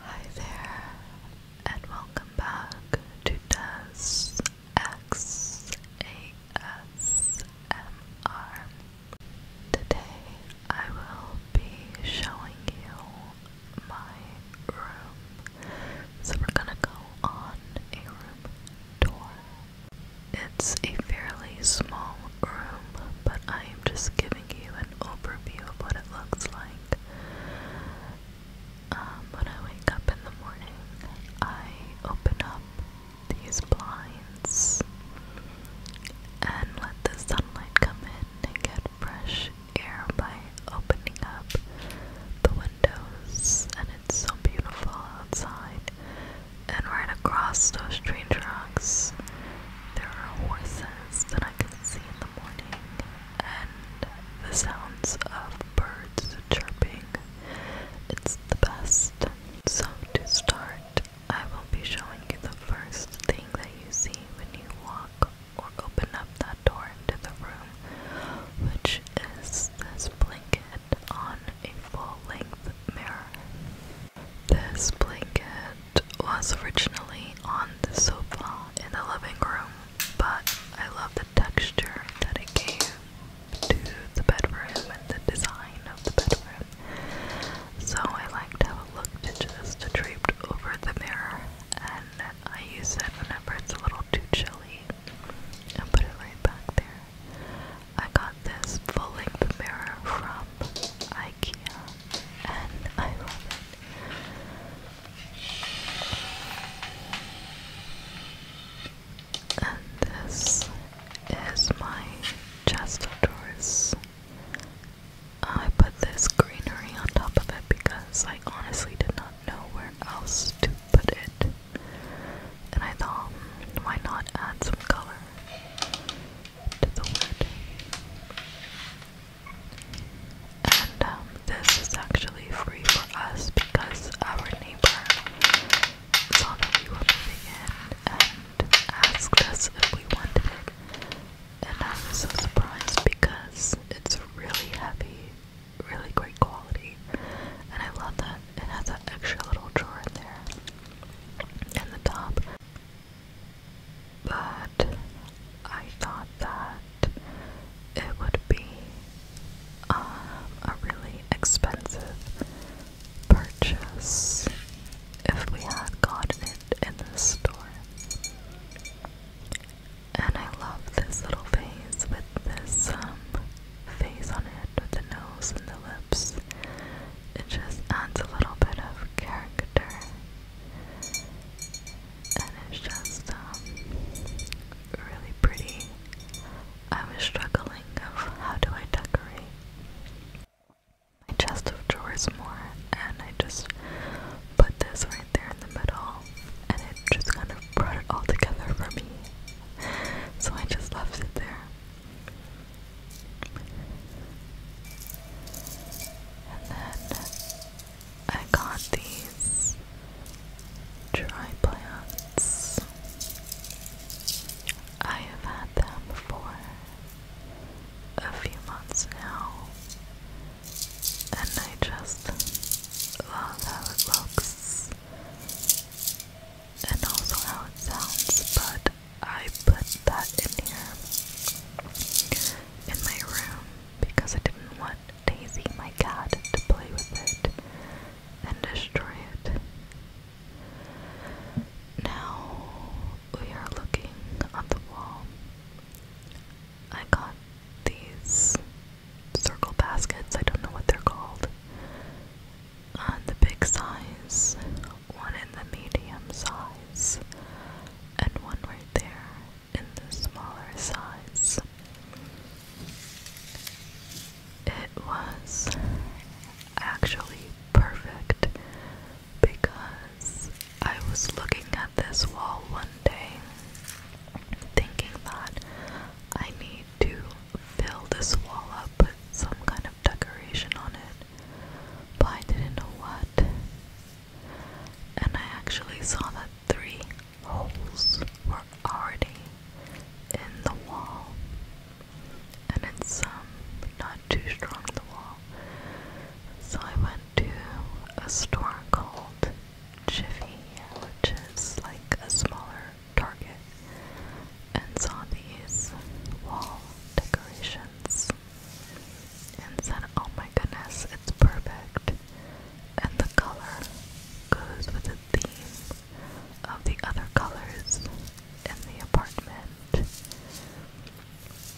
Hi there, and welcome back to Des X A S M R. Today I will be showing you my room. So we're gonna go on a room tour. It's a fairly small room, but I am just giving you an overview of what it looks like. Um, when I wake up in the morning, I open up these blinds and let the sunlight come in and get fresh air by opening up the windows. And it's so beautiful outside. And right across those train tracks, there are horses glass that I can see in the morning, and the sounds of birds chirping. It's the best. So, to start, I will be showing you the first thing that you see when you walk or open up that door into the room, which is this blanket on a full length mirror. This blanket was originally on the sofa in the living room, but I love the texture that it gave to the bedroom and the design of the bedroom. So I like to have a look to just draped over the mirror, and I use it whenever it's a little too chilly and put it right back there. I got this full length mirror from IKEA and I love this is my chest of drawers. I put this greenery on top of it because I honestly did not know where else to put it. And I thought, why not add some color to the wood? And um, this is actually free for us because our neighbor saw that we were moving in and asked us if we wanted it. And I was so surprised because it's really heavy, really great quality, and I love that it has that extra little drawer in there and the top but I thought that it would be uh, a really expensive purchase if we had gotten it in the store. And I love this little face with this um, face on it with the nose and the lips. It just adds a little bit of character and it's just um, really pretty. I was struggling of how do I decorate my chest of drawers more, and I just put this right there in the middle, and it just kind of brought it all together for me. So I just left it there. And then I got these dry plants. I have had them for a few months now, and I just love how it looks and also how it sounds, but I put that in here in my room because I didn't want Daisy, my cat, to play with it and destroy it. Now we are looking on the wall. I got these circle baskets, I don't know what they're called. On the big size, one in the medium size, and one right there in the smaller size. It was actually perfect because I was looking at this wall one day thinking that I need to fill this wall up with some kind of decoration on it, but I didn't know what and I actually saw that three holes were already in the wall, and it's um not too strong the wall. So I went to a store called Jiffy, which is like a smaller Target, and saw these wall decorations and then, Oh my goodness, it's perfect. And the color goes with the theme of the other colors in the apartment.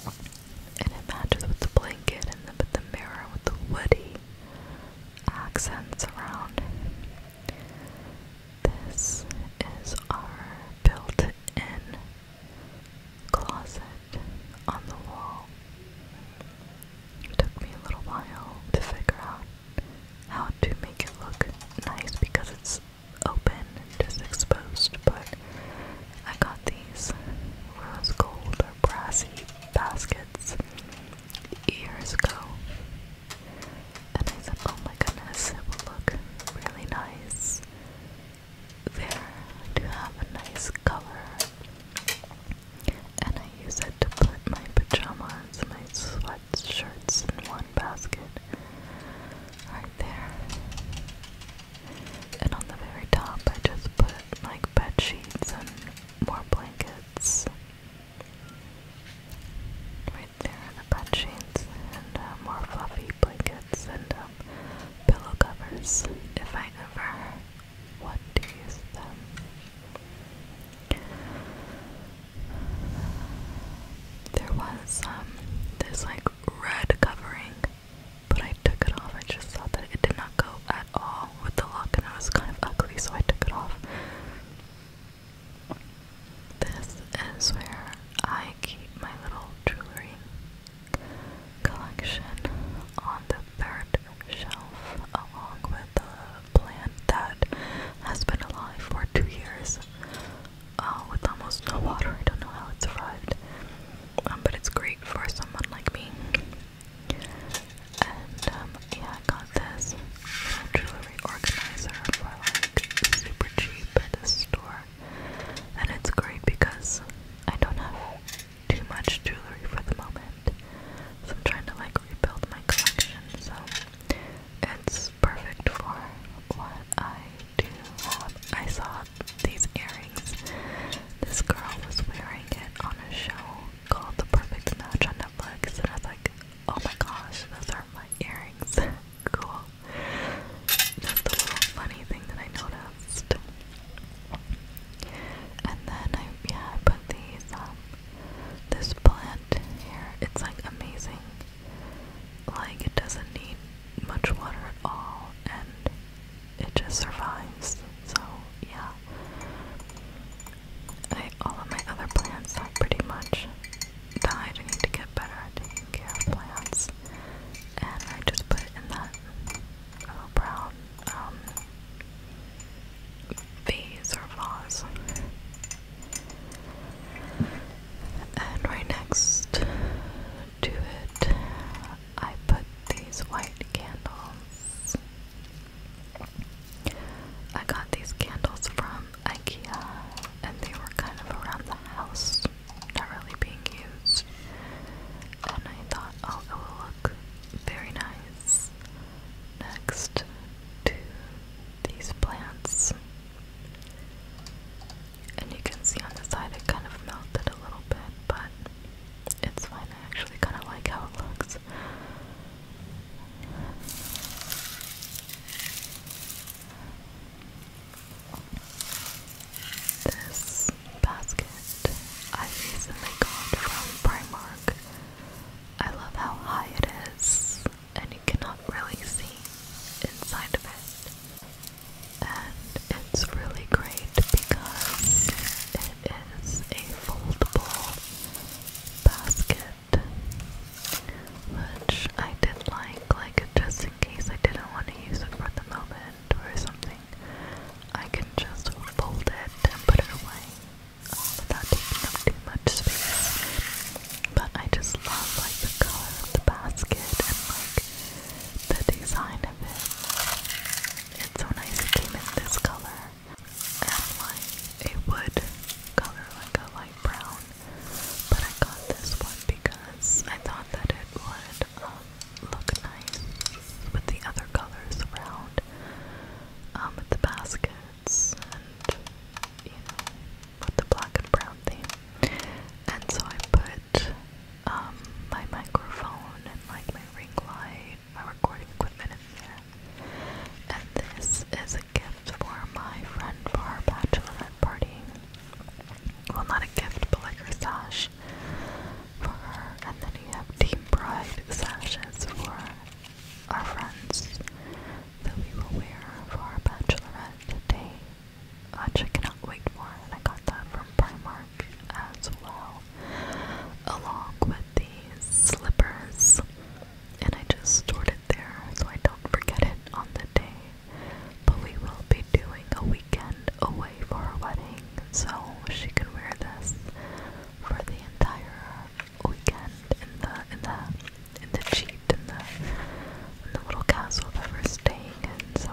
And it matches with the blanket and with the mirror with the woody accents around. This is our built in closet on the wall. It took me a little while to figure out how to make it look nice because it's open just exposed, but I got these rose gold or brassy baskets years ago. And I said, oh my goodness, it will look really nice there to have a nice color. And I use it to put my pajamas, my sweatshirts in one basket. Right there. And on the very top I just put like bed sheets and more blankets. Right there are the bed sheets and uh, more fluffy blankets. Send and um, pillow covers if I ever want to use them. There was um, this like red covering, but I took it off. I just thought that it did not go at all with the look, and it was kind of ugly, so I took it off. This is where I keep my little jewelry collection on the third shelf, along with a plant that has been alive for two years uh, with almost no water. I don't know how it survived, um, but it's great for someone like me. And um, yeah, I got this jewelry organizer for like super cheap at the store, and it's great because I don't have too much jewelry for the moment. So I'm trying to like rebuild my collection, so it's perfect for what I do have. I saw these earrings. This girl was wearing it on a show called The Perfect Match on Netflix, and I was like, oh my gosh, those are my earrings. cool. That's the little funny thing that I noticed. And then I yeah, I put these um this plant here. It's like amazing. Like it doesn't need much water at all and it just survives. So yeah. I, all of my other plants have pretty much died. I need to get better at taking care of plants. And I just put it in that oh, brown um, or vase. And right next to it, I put these white candles. I got these candles from IKEA and they were kind of around the house not really being used. And I thought, oh, it will look very nice next to these plants. And you can see on the side it kind of melted a little bit, but it's fine. I actually kind of like how it looks. This basket I recently got from Primark. I love how high it is and you cannot really see inside of it. And it's really great because it is a foldable basket which I did like, like just in case I didn't want to use it for the moment or something, I can just fold it and put it away without oh, taking up too much space. But I just love like the color of the basket and like the design of it. It's so nice it came in this color and like a wood color, like a light brown. But I got this one because I thought that it would um, look nice with the other colors around, um, with the baskets and, you know, with the black and brown theme. And so I put, um, my microphone and, like, my ring light, my recording equipment in there. And this is a gift for my friend for her bachelorette party. Well, not a gift, but like her sash for her, and then you have team pride sashes for our friends that we will wear for our bachelorette day, which I cannot wait for, and I got that from Primark as well, along with these slippers, and I just stored it there so I don't forget it on the day. But we will be doing a weekend away for our wedding, so she can wear this for the entire weekend in the in the in the cheat in the the little castle that we're staying in. So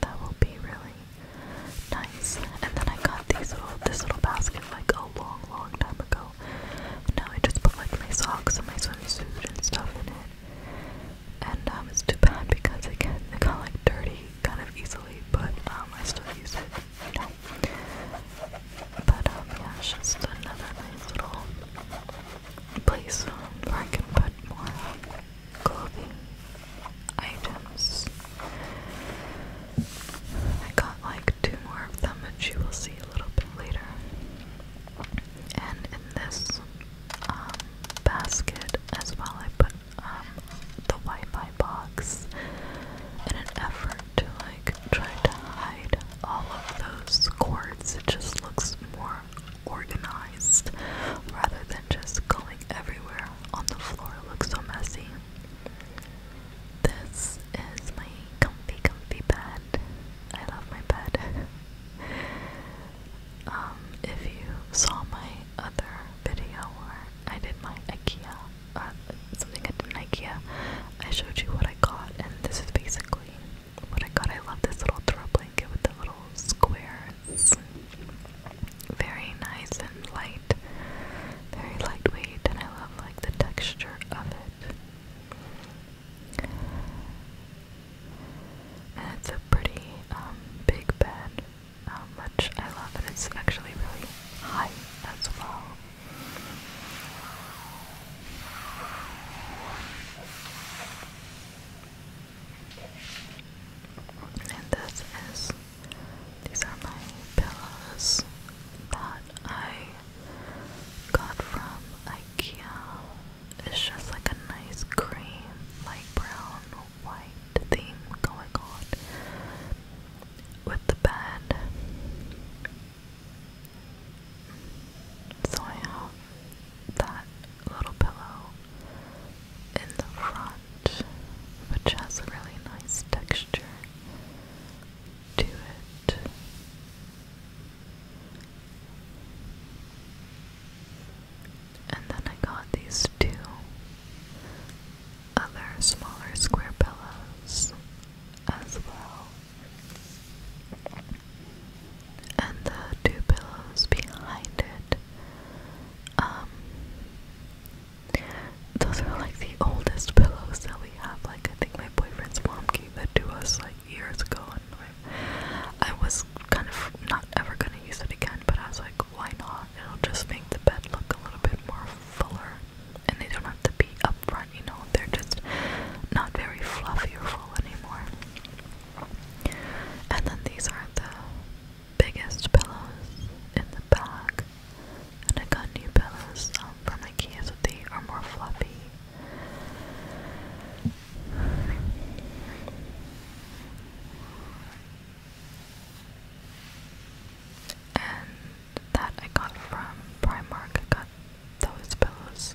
that will be really nice. And then I got these this little basket like a long long time ago. Now I just put like my socks and my swimsuit and stuff in it and um, it's too bad because it gets like dirty kind of easily, but um, I still use it. You But um, yeah, just another nice little place where I can put more clothing items. I got like two more of them, which you will see a little bit later. And in this basket as well, I put um, the Wi-Fi box in an effort to like try to hide all of those cords. It just looks more organized rather than just going everywhere on the floor. It looks so messy. This is my comfy, comfy bed. I love my bed. um, if you saw my other video where I did my IKEA, uh, something I did in I showed you what I got, and this is basically what I got. I love this little throw blanket with the little squares. Very nice and light, very lightweight, and I love like the texture of it. And it's a pretty um, big bed um, how much I love it. It's actually really high as well. And this is, these are my pillows that I got from IKEA. It's just like a nice cream, light brown white theme going on with the band. So I have that little pillow in the front, which has a really nice texture to it. And then I got these two other smaller square pillows as well. And the two pillows behind it. Um, those are like the oldest pillows that we have. Like I think my boyfriend's mom gave that to us like years ago and I was kind of not ever gonna use it again, but I was like, why not? It'll just make the bed look a little bit more fuller. And they don't have to be up front, you know, they're just not very fluffy or full anymore. And then these are the biggest pillows in the bag. And I got new pillows um, from Ikea, so they are more fluffy. And that I got from Primark. got those pillows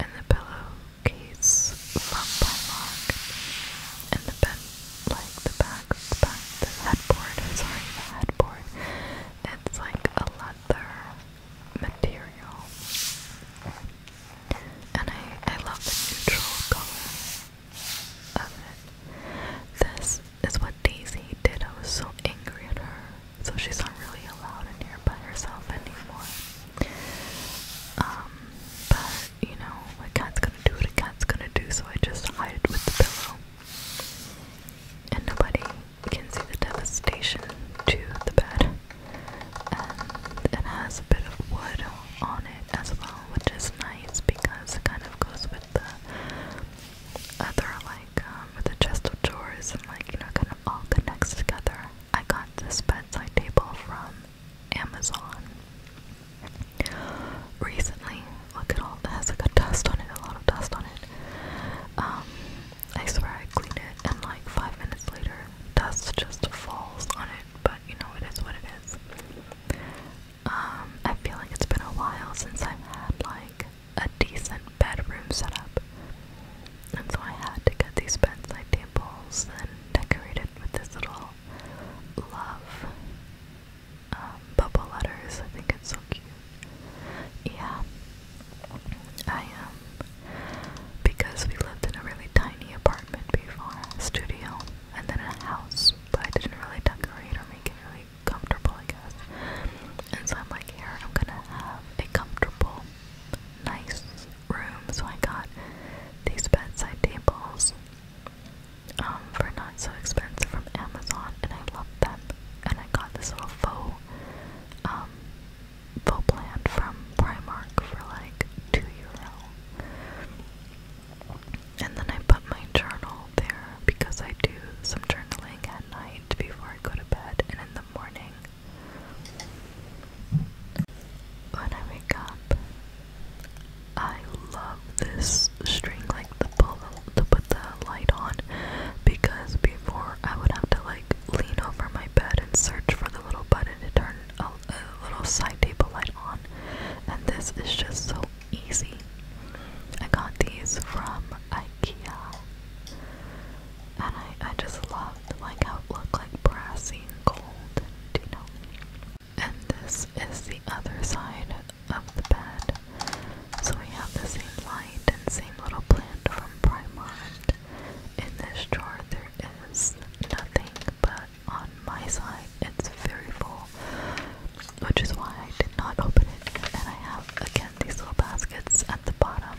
and the pillowcase from Primark. And the bed, like the back, back, the headboard, sorry, the headboard. It's like a leather material and I, I love the neutral color of it. This is what Daisy did. I was so angry at her, so she's not really allowed in here by herself anymore. Um, but you know, a cat's gonna do what cat's gonna do, so I just hide it with the pillow. And nobody can see the devastation to the bed. And it has a bit of wood on it as well, which is nice because it kind of goes with the other, like, um, the chest of drawers and, like, you know, kind of all connects together. I got this bedside table from Amazon recently. Look at all that has, like, a dust on it, a lot of dust on it. Um, I swear I cleaned it, and like five minutes later, dust just falls on it but you know it is what it is. Um, I feel like it's been a while since I've had like a decent bedroom setup, and so I had to get these bedside tables and decorate it with this little love um, bubble letters. I think it's so cute. Yeah, I am um, because we lived in a really tiny apartment before studio and then a house, but I didn't really decorate or make it really comfortable, I guess. And so I'm like, here, I'm gonna have a comfortable, nice room. So I got these bedside tables um, for not so expensive from Amazon, and I love them. And I got this little faux, um, faux plant from Primark for like two euro. And then I put my journal there because I do some journaling at night before I go to bed and in the morning. When I wake up, I love this string like to, pull to put the light on because before I would have to like lean over my bed and search for the little button to turn a a little side table light on and this is just so easy I got these from Ikea and I, I just love like how it looked like brassy and gold and you know and this is the other side of the bed so we have the same light and same little plant from Primark in this drawer there is nothing but on my side it's very full, which is why I did not open it. And I have again these little baskets at the bottom.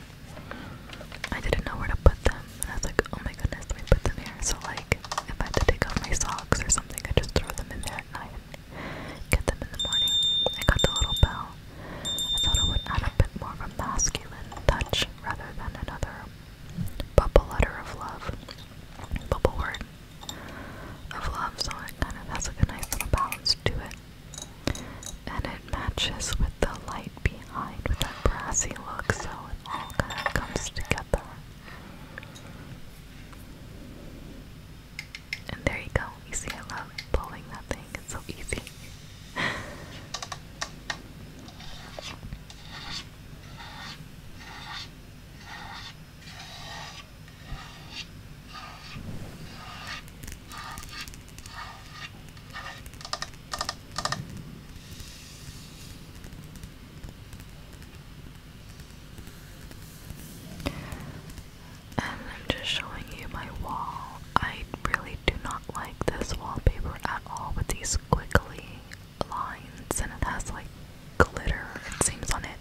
I didn't know where to put them, and I was like, oh my goodness, let me put them here. So like, if I had to take off my socks or something, I just throw them in there at night and get them in the morning. I got the little bell. I thought it would add a bit more of a masculine touch rather than another bubble letter of love bubblegum of love, so it kind of has like a nice little balance to it. And it matches with the light behind with that brassy look, so it all kind of comes together. And there you go. You see, I love pulling that thing, it's so easy. And I'm just showing you my wall. I really do not like this wallpaper at all with these squiggly lines and it has like glitter, it seems, on it.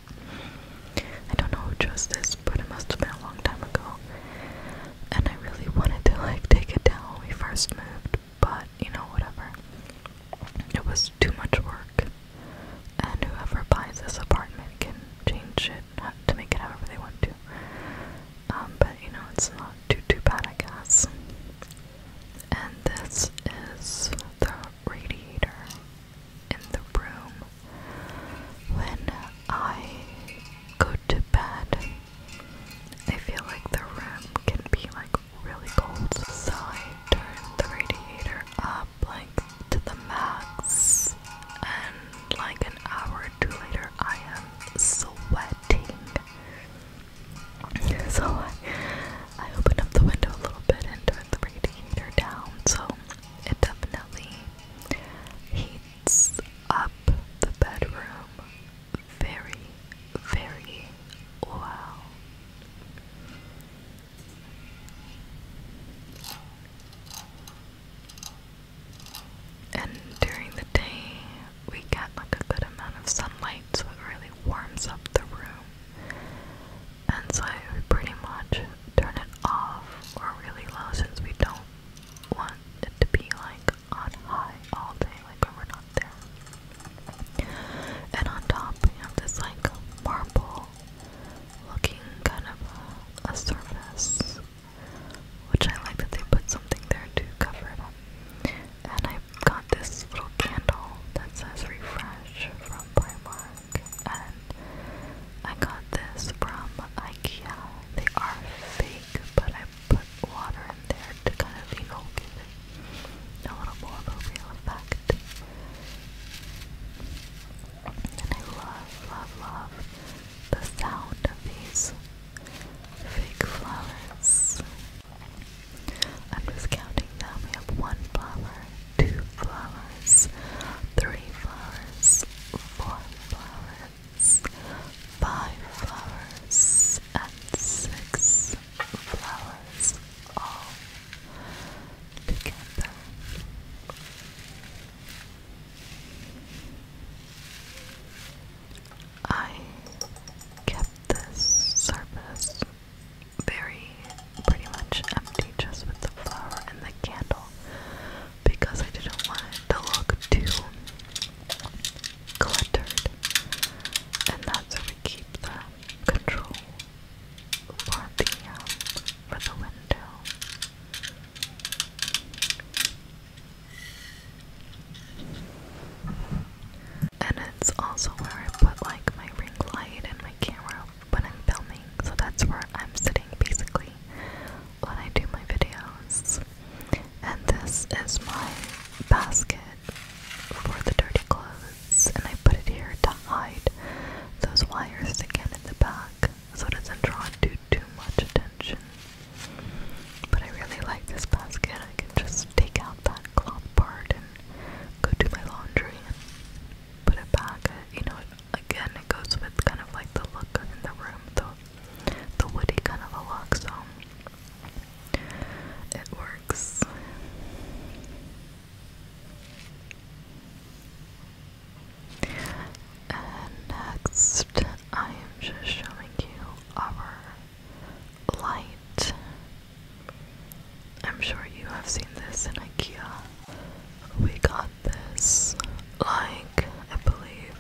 I don't know who chose this, but it must have been a long time ago. And I really wanted to like take it down when we first moved, but you know, whatever. It was too much work. And whoever buys this apartment can change it to make it however they want to. Um, but you know, it's not too too bad I guess. And this is the radiator in the room when I go to bed. I feel like the room can be like really cold, so I turn the radiator up like to the max, and like an hour or two later, I am sweating so I, opened up the window a little bit and turned the radiator down, so it definitely heats up the bedroom very, very well. And during the day, we get like a good amount of sunlight so it really warms up the room. And so I pretty much turn it off or really low since we don't want it to be like on high all day like when we're not there. And on top we have this like marble looking kind of a, a surface which I like that they put something there to cover it up. And I I got this little candle that says refresh from Primark and I got this from IKEA. They are fake, but I put water in there to kind of, evoke know, it a little more of a real effect. And I love, love, love the sound of these fake flowers. I'm just counting them. We have one flower, two flowers, three flowers, four flowers, five flowers, and six flowers all together. I kept this surface very pretty much empty just with the flower and the candle because I didn't want it to look too cluttered. And that's where we keep the control for the, um, for the window. And it's also where I put like my ring light and my camera when I'm filming. So that's where I'm sitting basically when I do my videos. And this is my basket for the dirty clothes. And I put it here to hide those wires again in the back so it doesn't draw too too much attention. But I really like this basket. I can just take out that cloth part and go do my laundry and put it back. You know, again, it goes with kind of like the look in the room, the, the woody kind of a look, so it works. And next, I am just showing you our light. I'm sure you have seen this in IKEA. We got this like I believe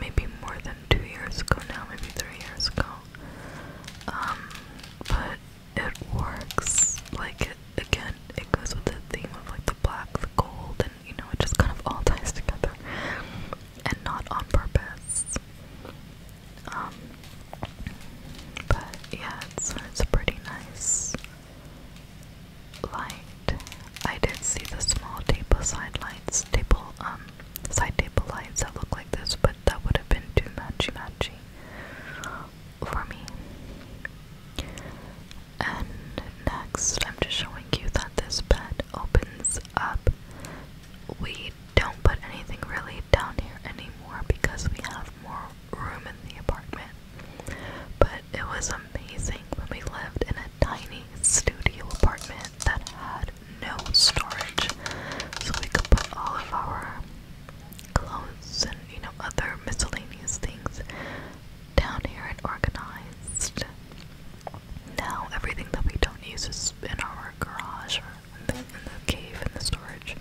maybe more than two years ago now, maybe three years ago. Um but it works like it again it goes with the theme of like the black, the gold and you know it just kind of all ties together and not on purpose. Um, but yeah, it's it's pretty nice light. I did see the small table side lights, table um side table lights that look like this, but that would have been too matchy matchy for me. And next, I'm just showing you that this bed opens up we don't put anything really down here anymore because we have more room in the apartment. But it was amazing when we lived in a tiny studio apartment that had no storage, so we could put all of our clothes and you know other miscellaneous things down here and organized. Now everything that we don't use is in our garage in the, cave in the storage,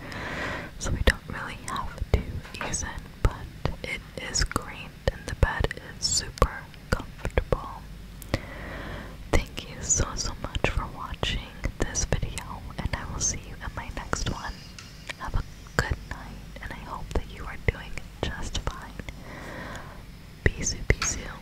so we don't really have to use it. But it is great, and the bed is super comfortable. Thank you so so much for watching this video, and I will see you in my next one. Have a good night, and I hope that you are doing just fine. Bisous, bisous.